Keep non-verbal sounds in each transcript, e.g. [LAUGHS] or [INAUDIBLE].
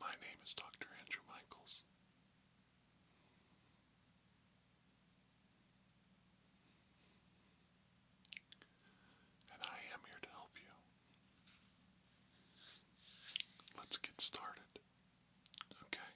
My name is Dr. Andrew Michaels. And I am here to help you. Let's get started. Okay.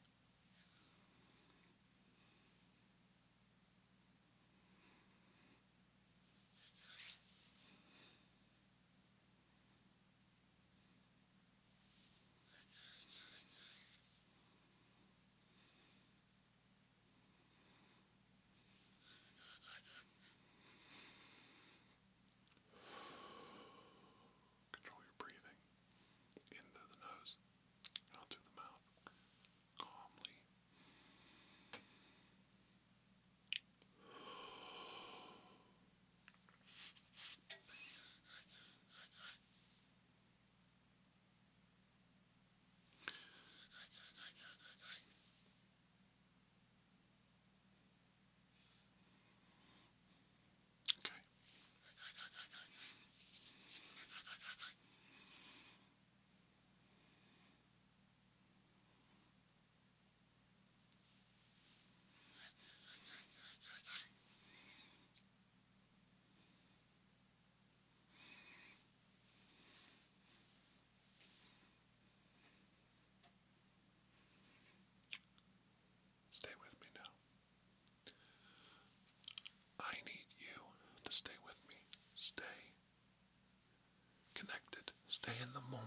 Control your breathing in through the nose, out through the mouth calmly. Okay. Stay with me now. I need you to stay with me. Stay connected. Stay in the moment.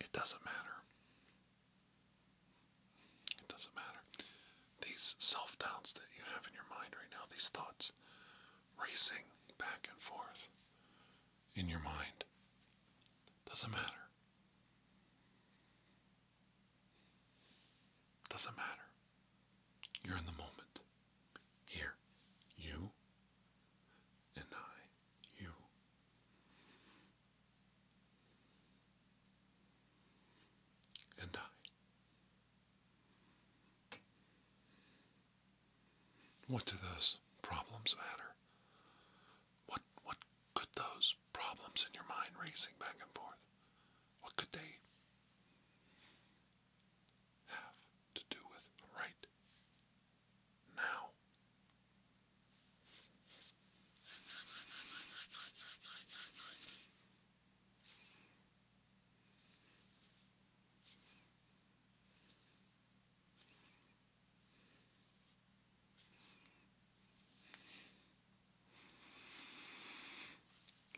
It doesn't matter. It doesn't matter. These self doubts that you have in your mind right now, these thoughts racing back and forth in your mind, doesn't matter. Doesn't matter. You're in the moment. Here. You and I, you. And I. What do those problems matter? What what could those problems in your mind racing back and forth? What could they have to do with right now.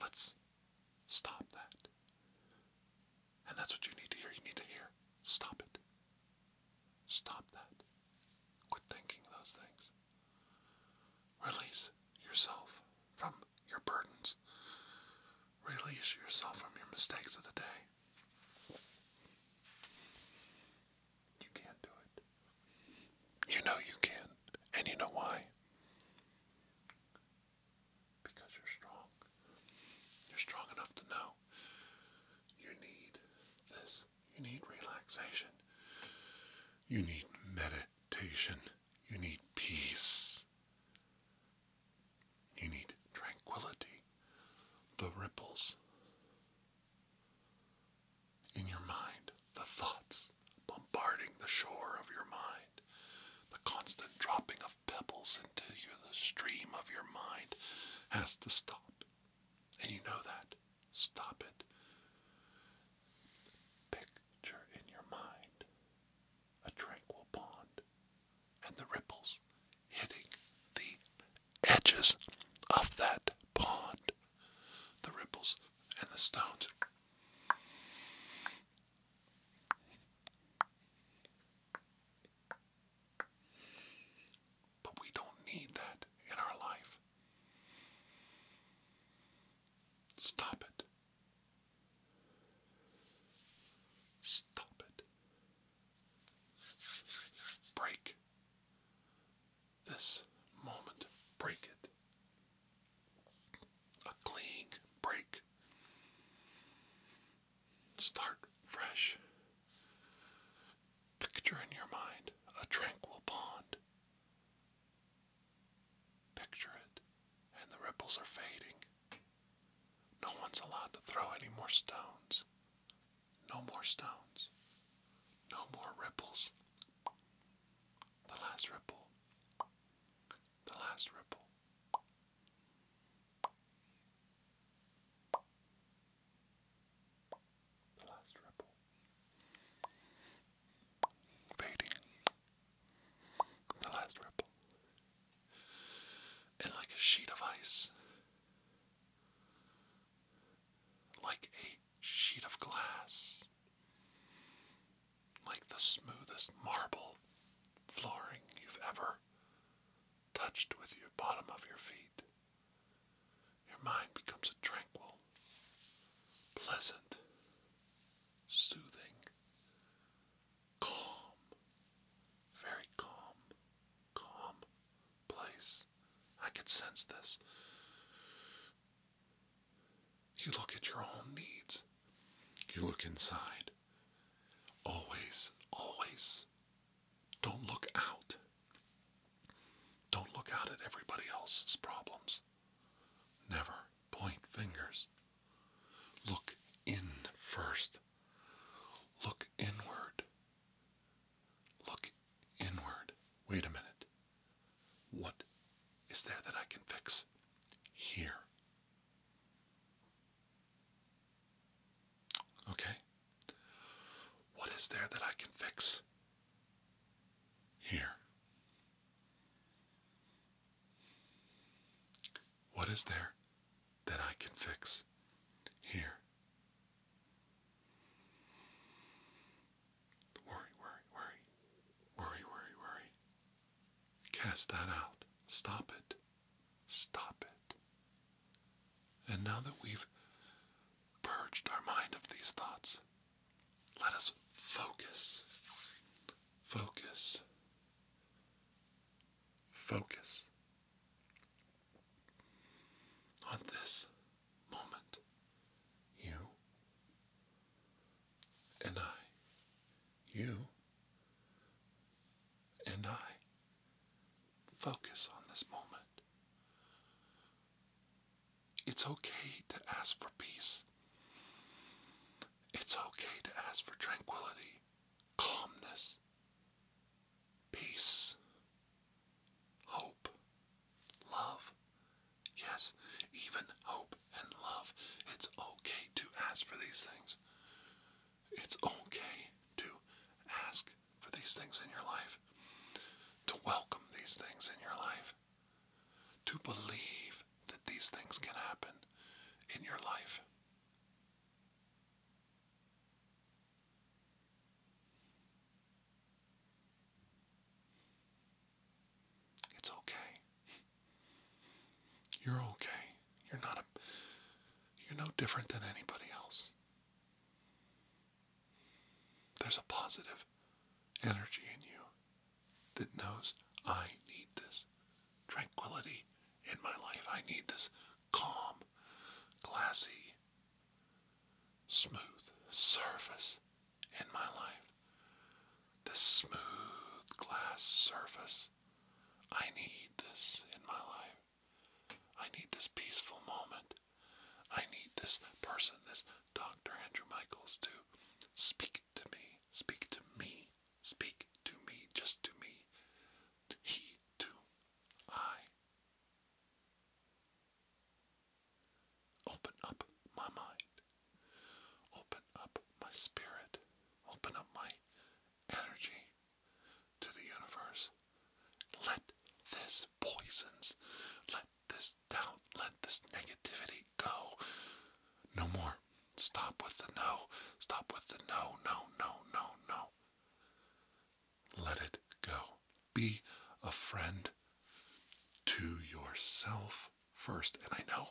Let's stop that. And that's what you need to hear. You need to hear. Stop it. Stop that. Quit thinking those things. Release yourself from your burdens. Release yourself from your mistakes of the day. You can't do it. You know you can. And you know why? Because you're strong. You're strong enough to know you need this. You need relaxation. You need meditation. You need peace. You need tranquility. The ripples in your mind, the thoughts bombarding the shore of your mind, the constant dropping of pebbles until you, the stream of your mind has to stop. And you know that. Stop it. Picture in your mind a tranquil pond and the ripples hitting the edges of that pond. The ripples and the stones. But we don't need that in our life. Stop it. Stop it. Break this moment. Break it. A clean break. Start fresh. Picture in your mind a tranquil pond. Picture it, and the ripples are fading. No one's allowed to throw any more stones. No more stones. No more ripples. The last ripple. The last ripple. The last ripple. Fading. The last ripple. And like a sheet of ice. Like a sheet of glass. Like the smoothest marble flooring you've ever touched with your bottom of your feet, your mind becomes a tranquil, pleasant, soothing, calm, very calm, calm place. I could sense this. You look at your own needs. You look inside. Always, always don't look out. Don't look out at everybody else's problems. Never point fingers. Look in first. Look inward. Look inward. Wait a minute. What is there that I can fix here Okay. What is there that I can fix here? What is there that I can fix here? Worry, worry, worry. Worry, worry, worry. Cast that out. Stop it. Stop it. And now that we've purged our mind of these thoughts, let us focus. Focus. Focus on this moment. You and I. You and I focus on this moment. It's okay to ask for peace. It's okay to ask for tranquility, calmness, peace, hope, love. Yes, even hope and love. It's okay to ask for these things. It's okay to ask for these things in your life, to welcome these things in your life, to believe that these things can happen in your life. It's okay. You're okay. You're not a you're no different than anybody else. There's a positive energy in you that knows I need this tranquility in my life. I need this calm, glassy, smooth surface in my life. This smooth glass surface I need this in my life. I need this peaceful moment. I need this person, this Dr. Andrew Michaels, to speak to me, speak to me, speak to me, just to me. He to I. Open up my mind. Open up my spirit. Open up my energy to the universe. Let this poisons, let this doubt, let this negativity go. No more. Stop with the no. Stop with the no, no, no, no, no. Let it go. Be a friend to yourself first. And I know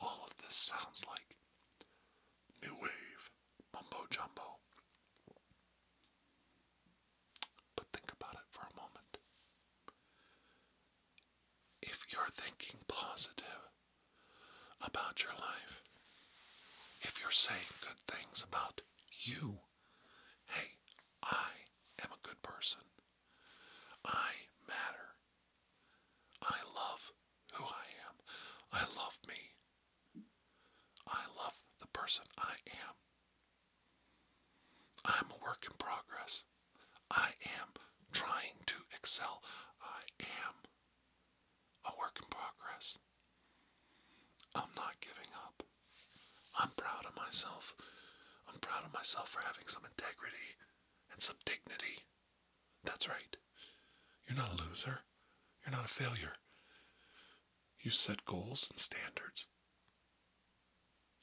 all of this sounds like new wave mumbo But think about it for a moment. If you're thinking positive about your life, if you're saying good things about you, hey, I am a good person. I matter. I love who I am. I love me. I love the person I am. I'm a work in progress. I am trying to excel. I am a work in progress. I'm not giving up. I'm proud of myself. I'm proud of myself for having some integrity and some dignity that's right. You're not a loser. You're not a failure. You set goals and standards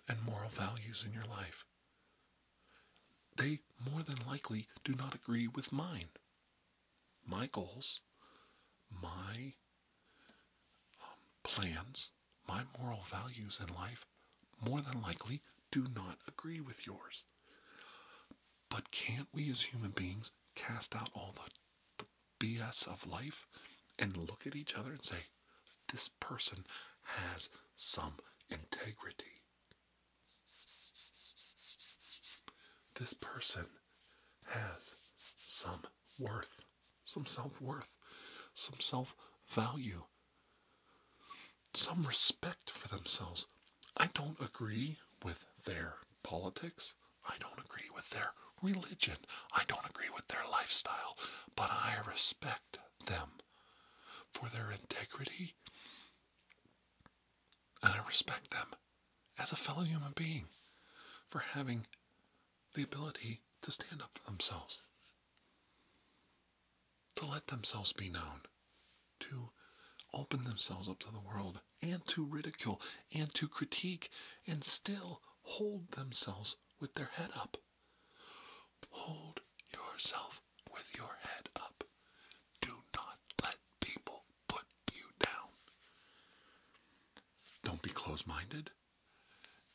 and moral values in your life. They more than likely do not agree with mine. My goals, my um, plans, my moral values in life more than likely do not agree with yours. But can't we as human beings cast out all the, the BS of life and look at each other and say, this person has some integrity? This person has some worth, some self worth, some self value some respect for themselves. I don't agree with their politics. I don't agree with their religion. I don't agree with their lifestyle. But I respect them for their integrity. And I respect them as a fellow human being for having the ability to stand up for themselves to let themselves be known, to open themselves up to the world, and to ridicule, and to critique, and still hold themselves with their head up. Hold yourself with your head up. Do not let people put you down. Don't be closed minded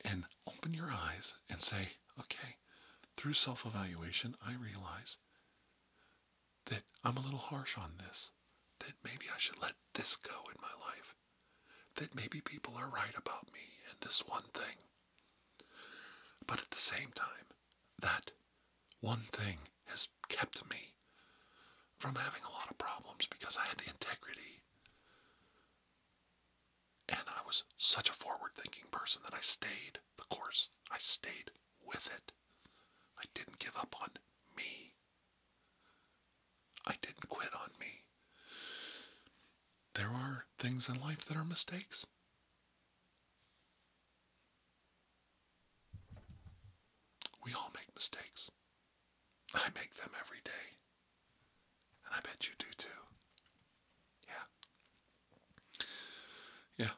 and open your eyes and say, okay, through self evaluation, I realize that I'm a little harsh on this, that maybe I should let this go in my life, that maybe people are right about me and this one thing. But at the same time, that one thing has kept me from having a lot of problems because I had the integrity. And I was such a forward thinking person that I stayed the course. I stayed with it. I didn't give up on me. I didn't quit on me. There are things in life that are mistakes. We all make mistakes. I make them every day. And I bet you do too. Yeah. Yeah.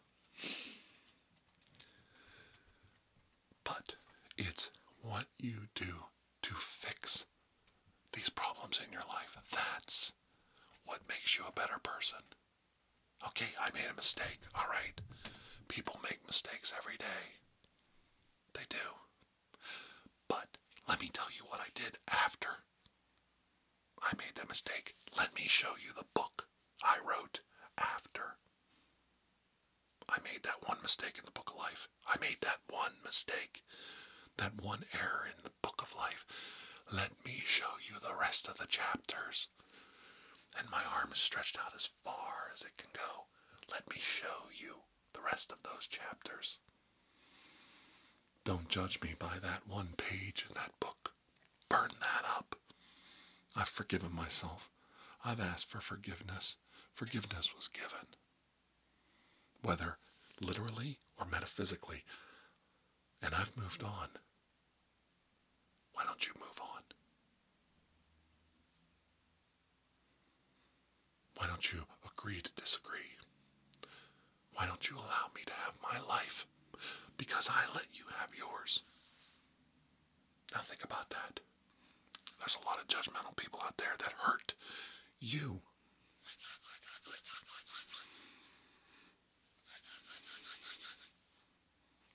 But it's what you do to fix these problems in your life. That's what makes you a better person. Okay, I made a mistake. All right. People make mistakes every day. They do. But let me tell you what I did after I made that mistake. Let me show you the book I wrote after. I made that one mistake in the book of life. I made that one mistake, that one error in the book of life. Let me show you the rest of the chapters. And my arm is stretched out as far as it can go. Let me show you the rest of those chapters. Don't judge me by that one page in that book. Burn that up. I've forgiven myself. I've asked for forgiveness. Forgiveness was given. Whether literally or metaphysically. And I've moved on. Why don't you move on? Why don't you agree to disagree? Why don't you allow me to have my life? Because I let you have yours. Now think about that. There's a lot of judgmental people out there that hurt you.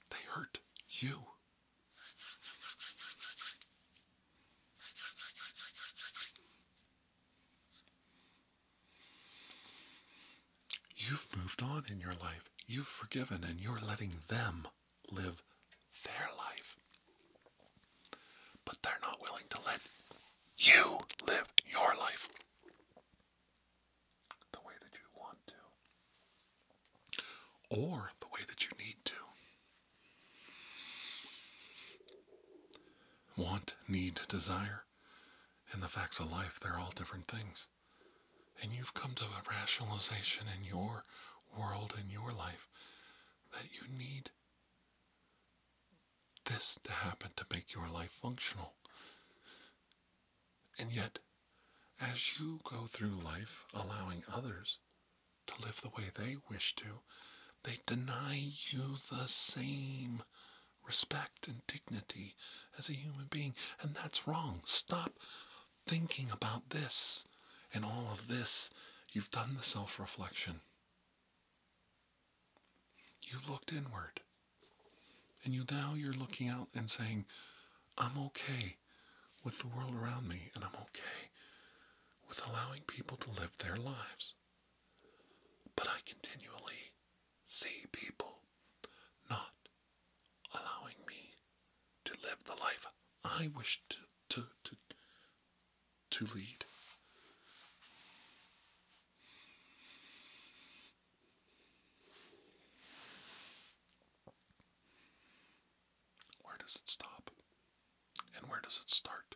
They hurt you. You've moved on in your life. You've forgiven, and you're letting them live their life. But they're not willing to let you live your life the way that you want to, or the way that you need to. Want, need, desire in the facts of life, they're all different things. And you've come to a rationalization in your world, in your life, that you need this to happen to make your life functional. And yet, as you go through life allowing others to live the way they wish to, they deny you the same respect and dignity as a human being. And that's wrong. Stop thinking about this and all of this. You've done the self reflection. You looked inward. And you now you're looking out and saying, I'm okay with the world around me, and I'm okay with allowing people to live their lives. But I continually see people not allowing me to live the life I wish to to to, to lead. Where does it stop? And where does it start?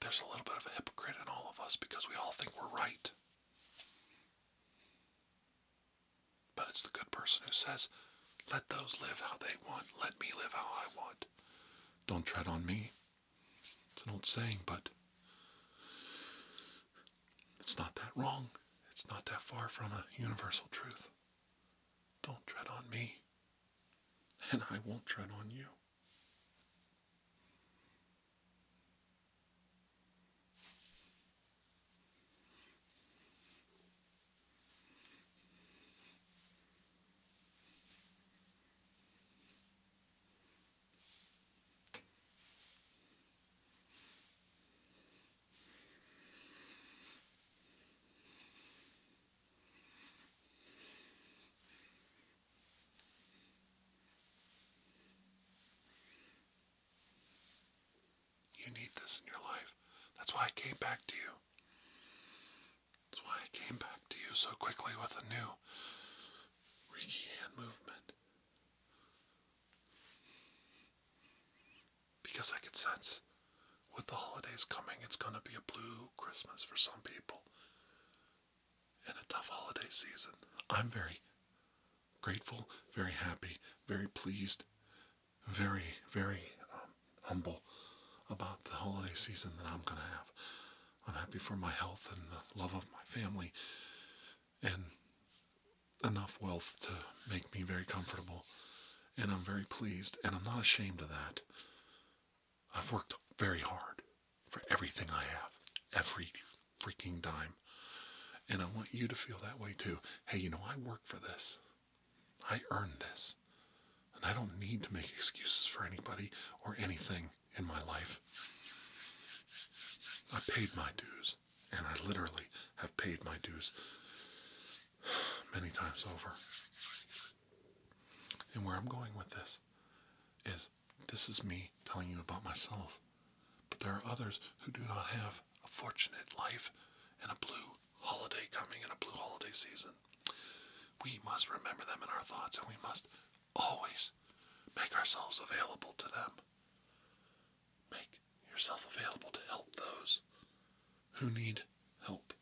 There's a little bit of a hypocrite in all of us because we all think we're right. But it's the good person who says, let those live how they want. Let me live how I want. Don't tread on me. It's an old saying, but it's not that wrong. It's not that far from a universal truth. Don't tread on me and I won't tread on you. You need this in your life. That's why I came back to you. That's why I came back to you so quickly with a new Reiki hand movement because I could sense with the holidays coming, it's going to be a blue Christmas for some people and a tough holiday season. I'm very grateful, very happy, very pleased, very, very um, humble about the holiday season that I'm going to have. I'm happy for my health and the love of my family and enough wealth to make me very comfortable and I'm very pleased, and I'm not ashamed of that. I've worked very hard for everything I have, every freaking dime. And I want you to feel that way too. Hey, you know, I work for this. I earned this. And I don't need to make excuses for anybody or anything in my life. I paid my dues, and I literally have paid my dues many times over. And where I'm going with this is this is me telling you about myself. But there are others who do not have a fortunate life and a blue holiday coming and a blue holiday season. We must remember them in our thoughts and we must always make ourselves available to them. Make yourself available to help those who need help.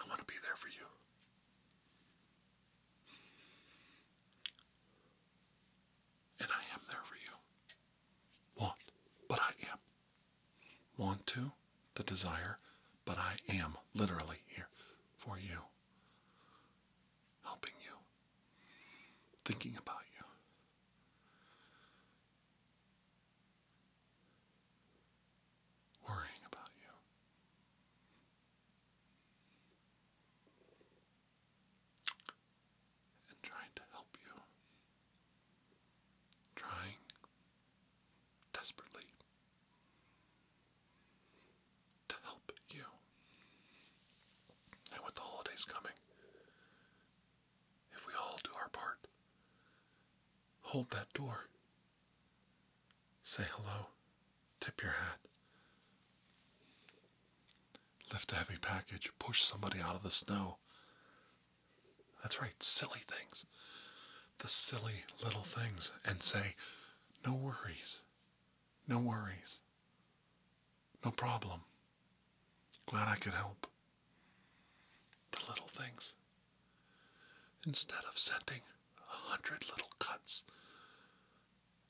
I want to be there for you. And I am there for you. Want, but I am. Want to, the desire, but I am literally here for you. Helping you. Thinking about you worrying about you. And trying to help you. Trying desperately to help you. And with the holidays coming, if we all do our part, hold that door Say hello, tip your hat, lift a heavy package, push somebody out of the snow. That's right, silly things. The silly little things, and say, no worries, no worries, no problem. Glad I could help. The little things. Instead of sending a hundred little cuts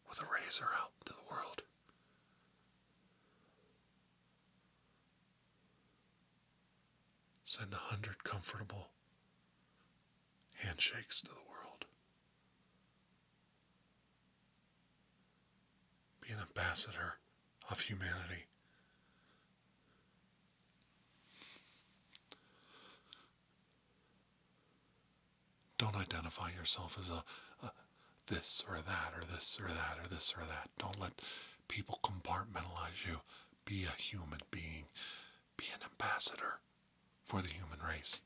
with a razor out into the world, send a hundred comfortable handshakes to the world. Be an ambassador of humanity don't identify yourself as a, this or that or this or that or this or that. Don't let people compartmentalize you. Be a human being. Be an ambassador for the human race.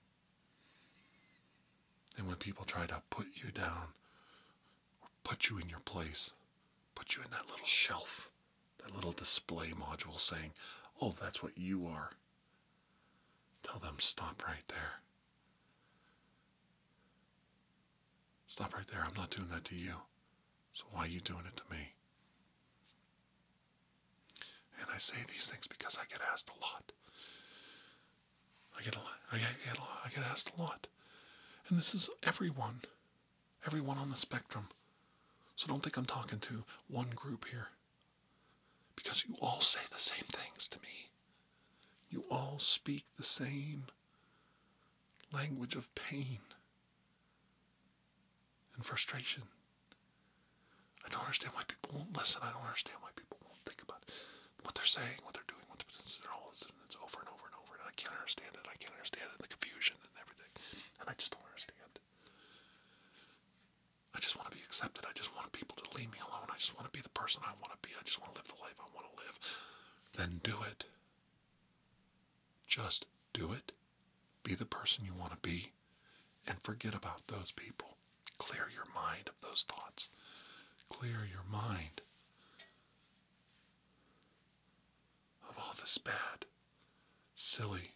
And when people try to put you down, put you in your place, put you in that little shelf that little display module saying, Oh, that's what you are. Tell them, stop right there. Stop right there. I'm not doing that to you. So why are you doing it to me? And I say these things because I get asked a lot. I get a lot. I get, asked a lot. And this is everyone everyone on the spectrum. So don't think I'm talking to one group here. Because you all say the same things to me. You all speak the same language of pain and frustration. I don't understand why people won't listen. I don't understand why people won't think about what they're saying, what they're doing, what they're all. It's over and over and over, and I can't understand it. I can't understand it. The confusion and everything and I just don't understand. I just want to be accepted. I just want people to leave me alone. I just want to be the person I want to be. I just want to live the life I want to live. Then do it. Just do it. Be the person you want to be and forget about those people. Clear your mind of those thoughts. Clear your mind of all this bad, silly,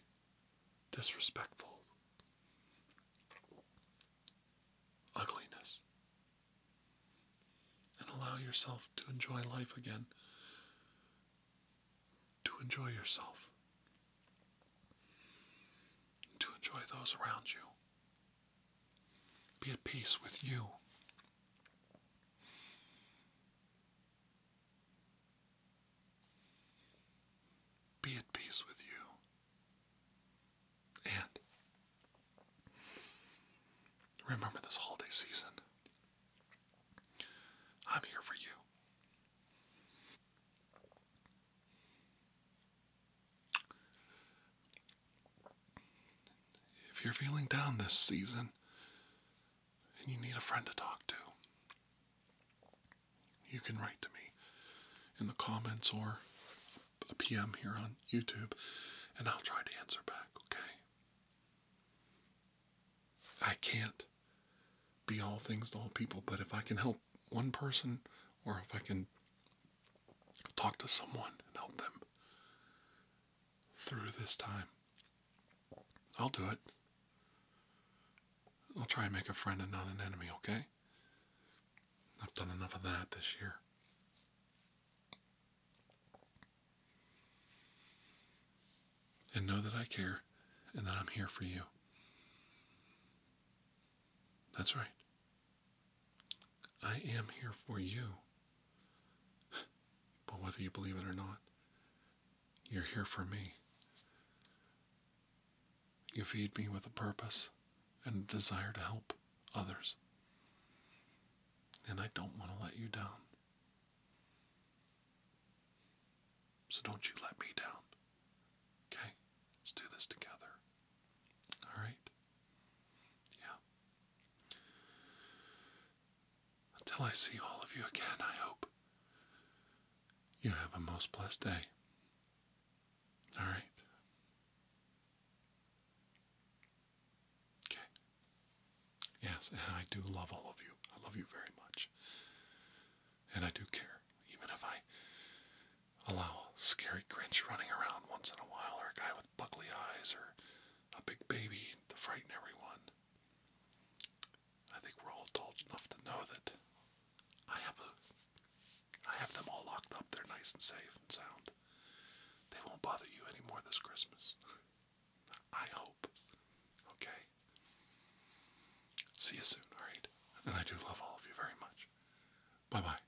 disrespectful ugliness. And allow yourself to enjoy life again, to enjoy yourself, to enjoy those around you. Be at peace with you be at peace with you. And remember this holiday season. I'm here for you. If you're feeling down this season, and you need a friend to talk to, you can write to me in the comments or a PM here on YouTube, and I'll try to answer back, okay? I can't be all things to all people, but if I can help one person or if I can talk to someone and help them, through this time. I'll do it. I'll try and make a friend and not an enemy, okay? I've done enough of that this year. And know that I care and that I'm here for you. That's right. I am here for you. But whether you believe it or not, you're here for me. You feed me with a purpose and a desire to help others. And I don't want to let you down. So don't you let me down. Okay? Let's do this together. All right? Yeah. Until I see all of you again, I hope you have a most blessed day. All right. Okay. Yes, and I do love all of you. I love you very much. And I do care, even if I allow scary Grinch running around once in a while or a guy with buggly eyes or a big baby to frighten everyone. I think we're all adult enough to know that I have a I have them all locked up. They're nice and safe and sound. They won't bother you anymore this Christmas. [LAUGHS] I hope. Okay. See you soon, alright? And I do love all of you very much. Bye bye.